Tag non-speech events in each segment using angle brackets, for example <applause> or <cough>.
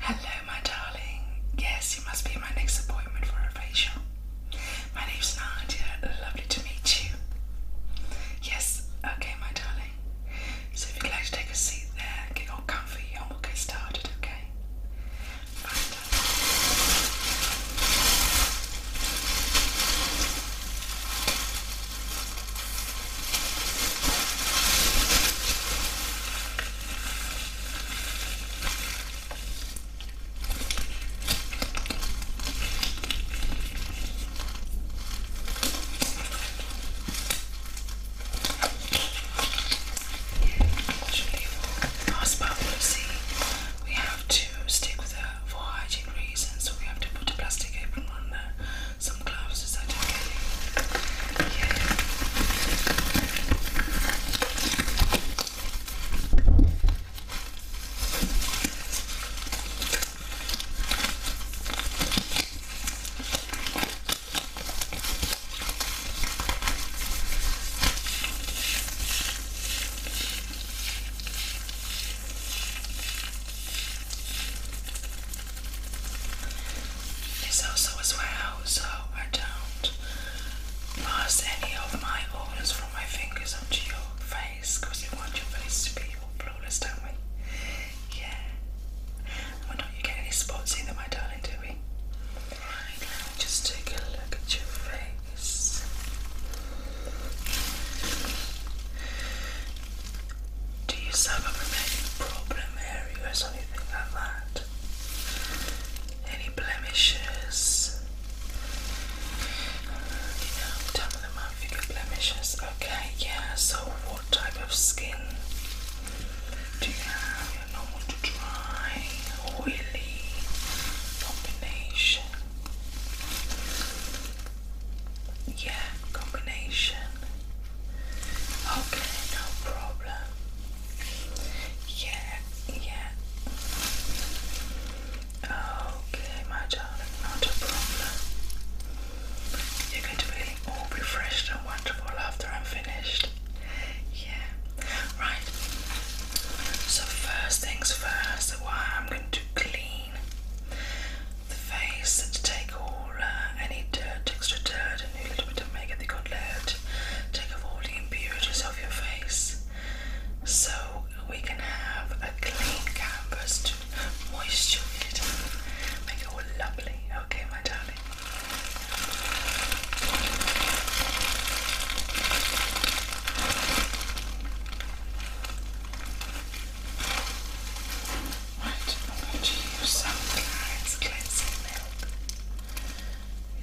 Hello, my darling. Yes, you must be my next appointment for a facial. My name's Nadia. Lovely to meet you. Yes, okay, my darling. So if you'd like to take a seat there, get all comfy, and we'll get started, okay? Usually for hospital policy, we have to stick with the for hygiene reasons, so we have to put a plastic apron on the some glasses I don't Yeah. It's also as well, so I don't pass any of my oils from my fingers onto your face because you want your face to be flawless, don't we? Yeah. Why don't you get any spots either, my darling, do we? Right, let just take a look at your face. Do you suffer from any problem areas or anything like that? Any blemishes? Uh, you know, tell me the month blemishes. Okay, yeah, so what type of skin do you have? You're normal to dry, oily, combination. Yeah, combination. Okay, no problem. Yeah, yeah. Okay, my darling, not a problem. You're going to be all refreshed and wonderful after I'm finished. Yeah. Right. So first things first, what I'm going to clean the face and take all uh, any dirt, extra dirt, and a little bit of makeup that got left. Take off all the impurities off your face, so we can have a clean canvas to moisturize it, make it all lovely. Okay, my darling. Right, I'm going to use some Clarins Cleansing Milk,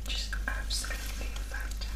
which is absolutely fantastic.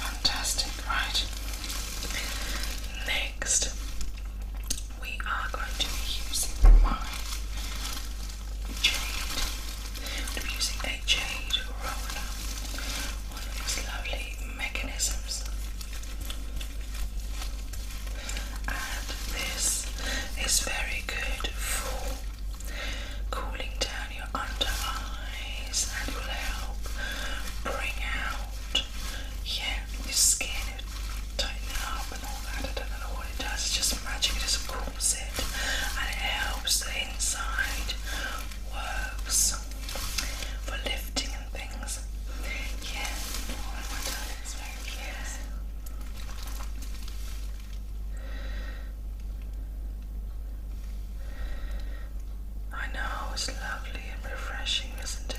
Fantastic, right? Next, we are going to be using my jade. We'll using a jade roller one of these lovely mechanisms. And this is very good for cooling down your under eyes and will help bring out yeah, your skin, it will tighten up and all that. I don't know what it does, it's just magic, it just cools it and it helps the inside works for lifting and things. Yeah, oh, I know, it's lovely and refreshing, isn't it?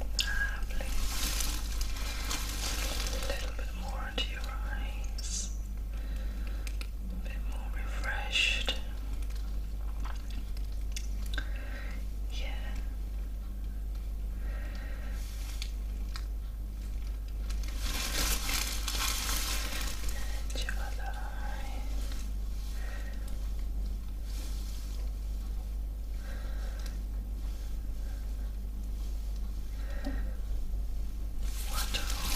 Lovely. A little bit more into your eyes. A bit more refreshed. Yeah. And Wonderful.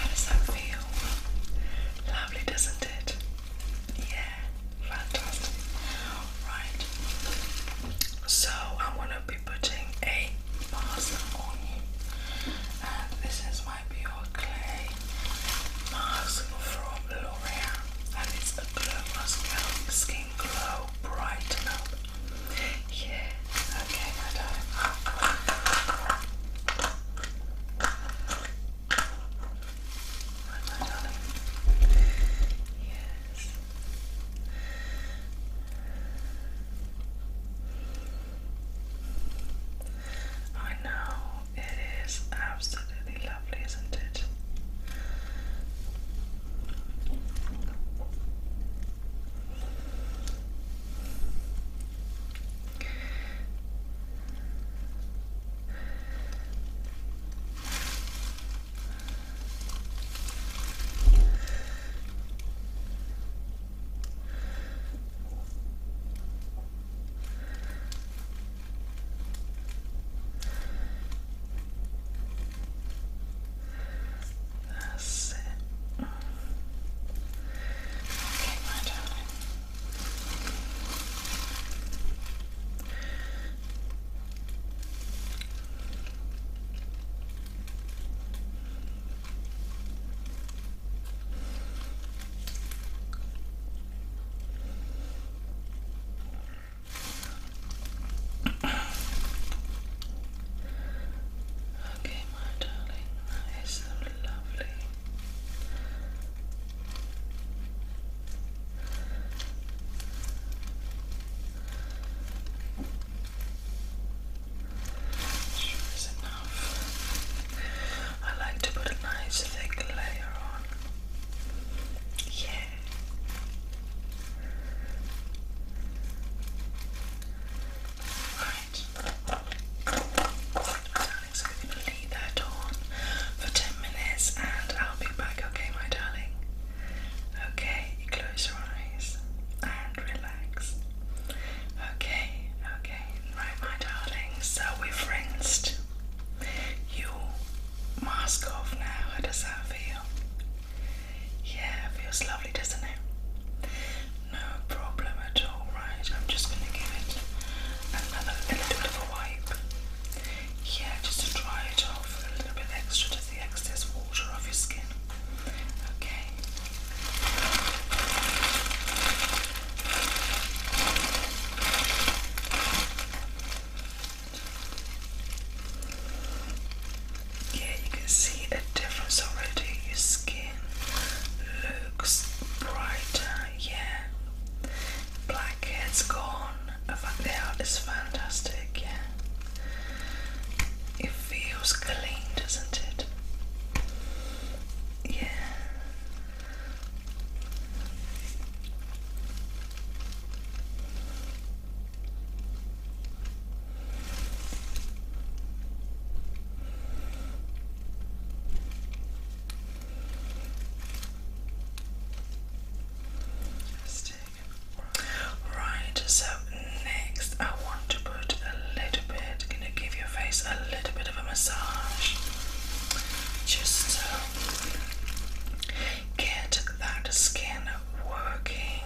How does that feel? Lovely, doesn't it? Yeah, fantastic. Right. So I'm gonna be putting a mask on you. And this is my pure clay mask from L'Oreal. And it's glow mascara, skin glow, brighten up. Yeah, okay, my darling. Right, Yes. I know it is absolutely lovely, isn't it? That's it. Okay, my darling. Okay, my darling, that is lovely. Sure is enough. I like to put a nice thick layer on. Yeah. Right. so we're going to leave that on for 10 minutes and I'll be back, okay, my darling? Okay, close your eyes and relax. Okay, okay, right, my darling. So we've rinsed. You mask off now. How does that feel? Yeah, feels lovely, doesn't it? No problem at all, right? I'm just gonna give it another little bit of a wipe. Yeah, just to dry it off a little bit extra, just the excess water off your skin. Okay. Yeah, you can see a difference already. Your skin looks brighter, yeah. Blackheads gone. It's fantastic, yeah. It feels clean, doesn't it? Yeah. Right, so next I want to put a little bit, gonna give your face a little bit of a massage. Just Get that skin working.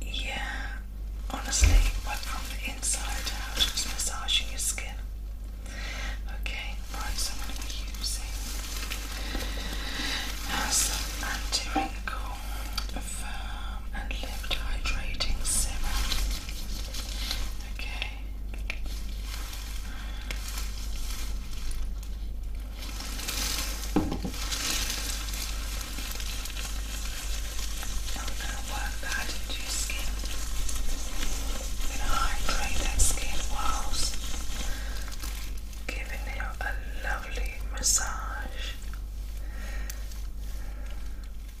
Yeah, honestly, but from the inside out, just massaging your skin. Okay, right, so I'm going to be using some anti-wrinkle firm and lift hydrating serum. Okay, Okay. Now going to work that into your skin. We're going to hydrate that skin whilst giving you a lovely massage.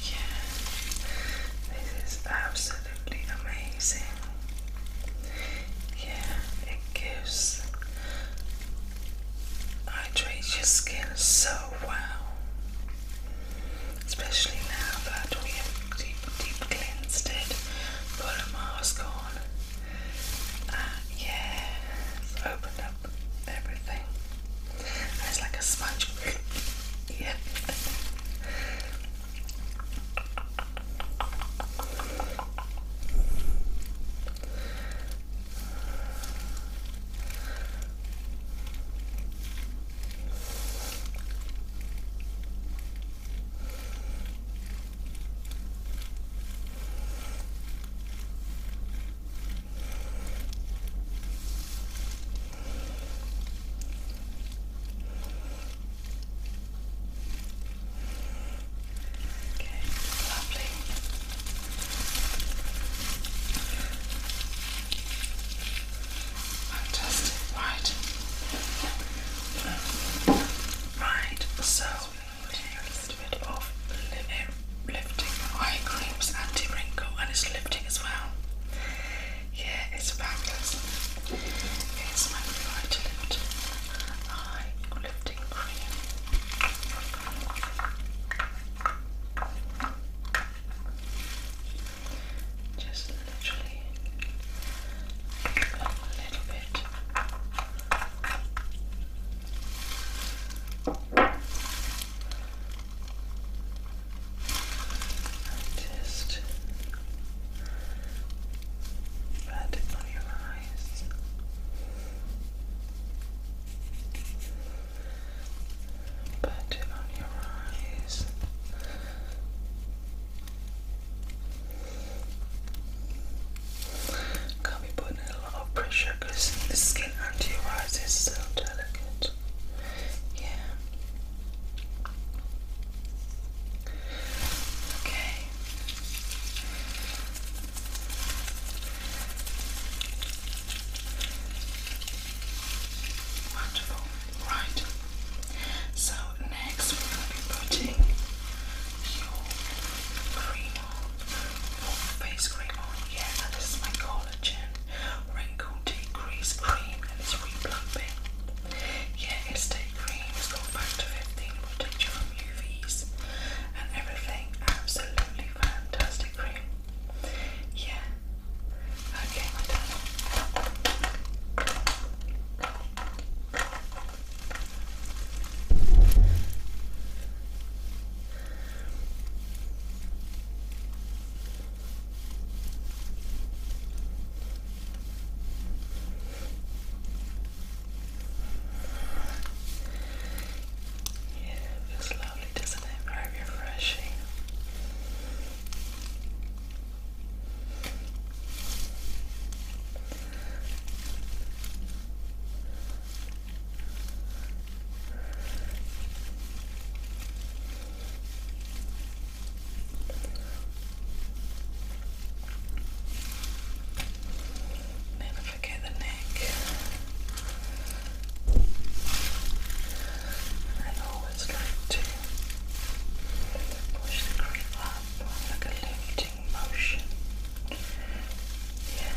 Yeah, this is absolutely amazing. Yeah, it gives hydrates your skin so well, especially now that we deep, deep cleansed it, put a mask on. Uh, yeah, opened up everything. it's like a sponge. <laughs> yeah. Okay, lovely. Fantastic, right. Right, so a little bit of lemon lifting eye creams, anti-wrinkle, and it's lifting as well. Yeah, it's fabulous. It's my light eye lifting cream. Just literally a little bit. Just pat it on your eyes. Pat it on your eyes. Can't putting a a lot of pressure because the skin under your eyes is so delicate. Yeah. Okay. Wonderful. Right. So next we're going to be putting your cream face cream on. Yeah, now this is my collagen wrinkle decrease cream and it's replumping. Yeah, it's day cream, it's got factor 15, it protects you from UVs and everything. Absolutely fantastic cream. Yeah. Okay, my dad. Yeah, it feels lovely, doesn't it? Very refreshing. Never forget the neck. And always like to push the cream up like a lifting motion. Yeah.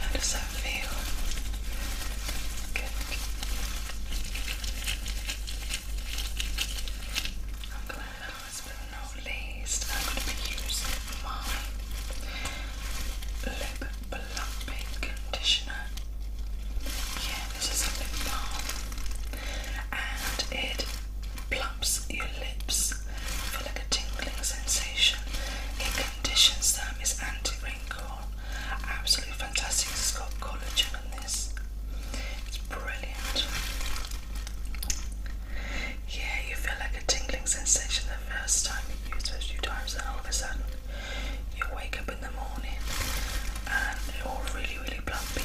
How does that feel? Good. I'm glad last but not least, I'm going to be using my lip Plumping Conditioner. Yeah, this is a lip balm and it plumps your lips feel like a tingling sensation. It conditions them, it's anti-wrinkle. Absolutely fantastic. It's got collagen in this. It's brilliant. Yeah, you feel like a tingling sensation the first time you use it a few times and all of a sudden you wake up in the morning and you're really, really plumpy.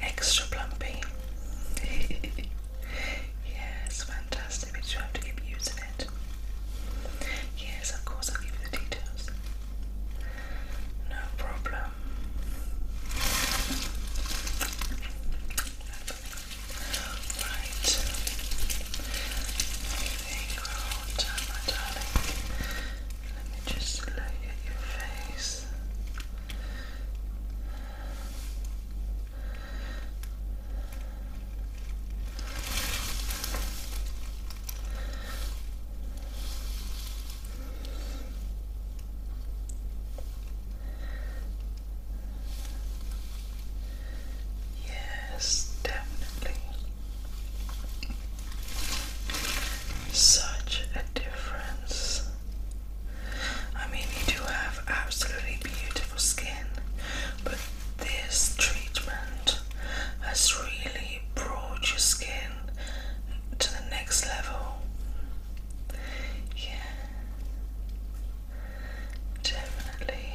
Extra plumpy. <laughs> yeah, fantastic, but you have to keep using it. Yes, of course, I'll give you the details. No problem. Right everything will darling. Let me just look at your face. Yes, definitely. Such a difference. I mean, you do have absolutely beautiful skin, but this treatment has really brought your skin to the next level. Yeah, definitely.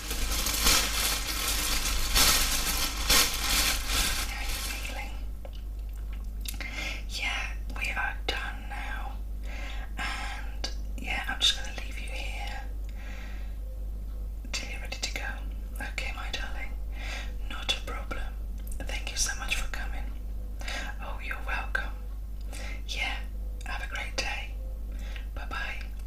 are you feeling? Yeah, we are done now. And yeah, I'm just going to leave you here till you're ready to go. Okay, my darling. Not a problem. Thank you so much for coming. Oh, you're welcome. Yeah, have a great day. Bye bye.